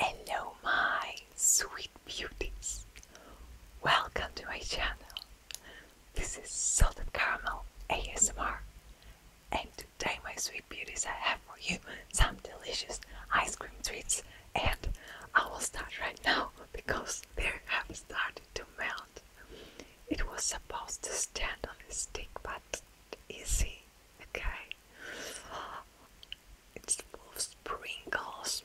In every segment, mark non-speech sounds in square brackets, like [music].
Hello, my sweet beauties! Welcome to my channel. This is Salted Caramel ASMR, and today, my sweet beauties, I have for you some delicious ice cream treats, and I will start right now because they have started to melt. It was supposed to stand on a stick, but easy Okay. It's full of sprinkles.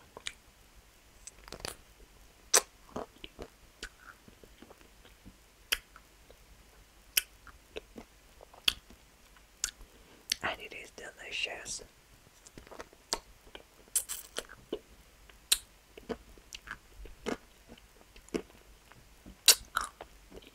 And it is delicious.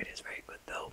It is very good though.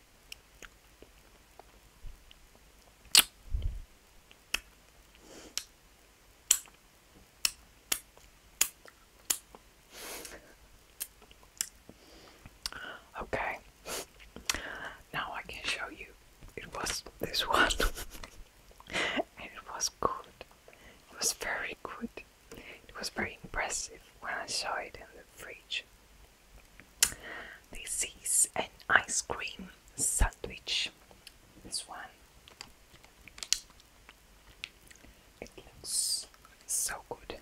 Okay, now I can show you. It was this one, [laughs] and it was good. It was very good. It was very impressive when I saw it in the fridge. This is an ice cream sandwich. This one. It looks so good.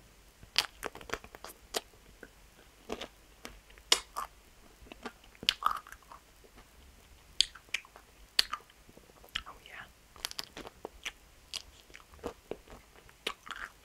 Oh, yeah.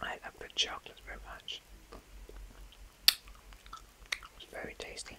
I love the chocolate very much. It's very tasty.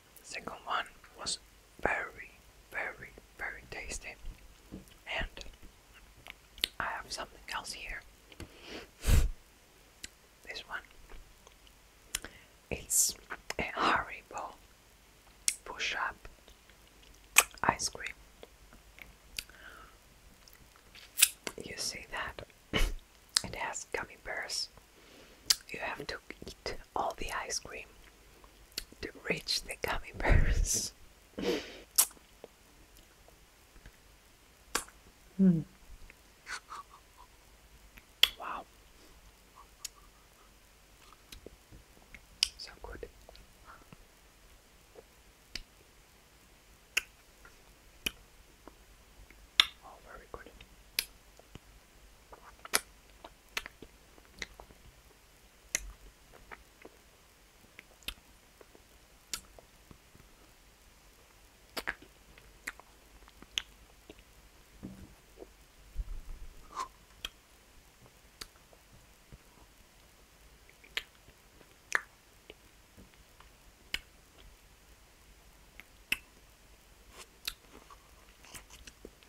second one was very, very, very tasty. And I have something else here. [laughs] this one. It's a Haribo push up ice cream. You see that? [laughs] it has gummy bears you have to eat all the ice cream to reach the gummy bears. [laughs] Hmm. Wow. So good. Oh, very good.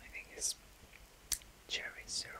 I think it's cherry syrup.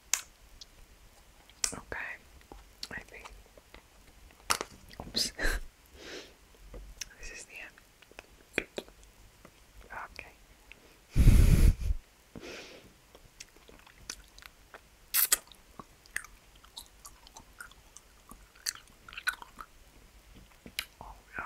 Okay, Oops. [laughs] this is the end. Okay. Oh, yeah.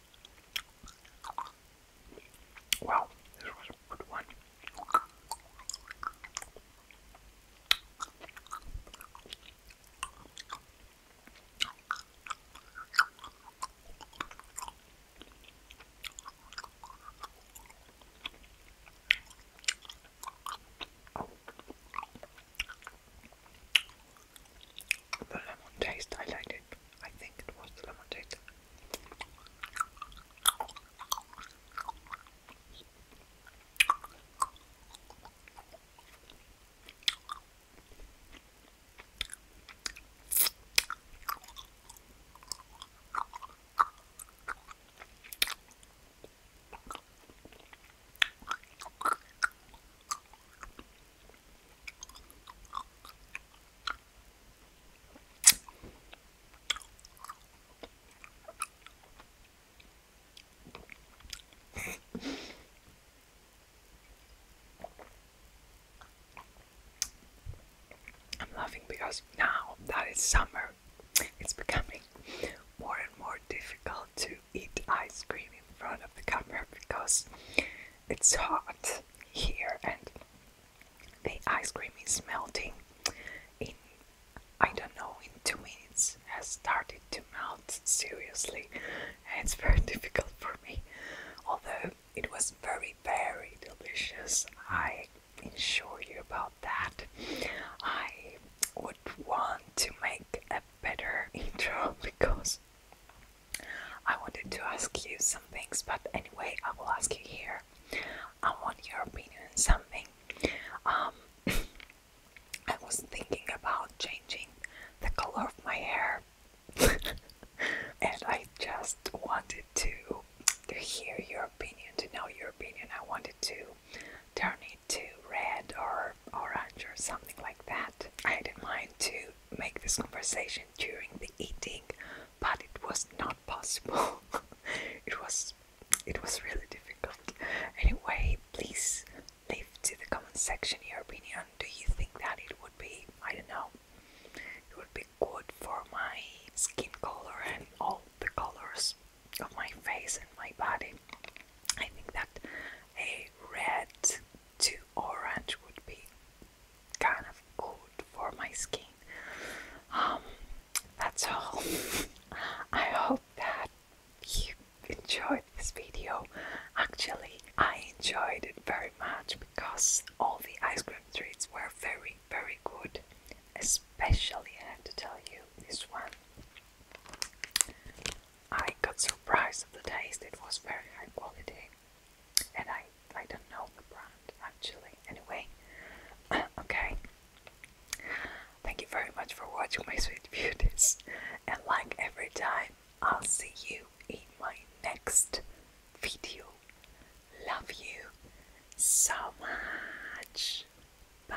Wow, this was a good one the lemon taste I liked it. I think it was the lemon taste. I'm laughing because now that it's summer, it's becoming more and more difficult to eat ice cream in front of the camera because it's hot here and the ice cream is melting in I don't know in two minutes has started to melt seriously and it's very [laughs] difficult for me although it was very very delicious I ensure you about that I would want to make a better [laughs] intro because I wanted to ask you some things, but anyway, I will ask you here. I want your opinion on something. Um, [coughs] I was thinking about changing the color of my hair, [laughs] and I just wanted to, to hear your opinion, to know your opinion. I wanted to turn it to red or orange or something like that. I didn't mind to make this conversation during the eating, but it was not possible. [laughs] it was it was really difficult. Anyway, please leave to the comment section your opinion. Do you think that it would be I don't know it would be good for my skin color and all the colors of my face and my body? I think that a red too orange would be kind of good for my skin. Um, that's all. [laughs] I hope that you enjoyed this video. Actually, I enjoyed it very much because all the ice cream treats were very, very good. Especially, I have to tell you, this one. I got surprised of the taste. It was very high quality, and I I don't know the brand actually. Anyway, [clears throat] okay. Thank you very much for watching my sweet [laughs] beauties, and like every time, I'll see you in my next video. Love you so much. Bye.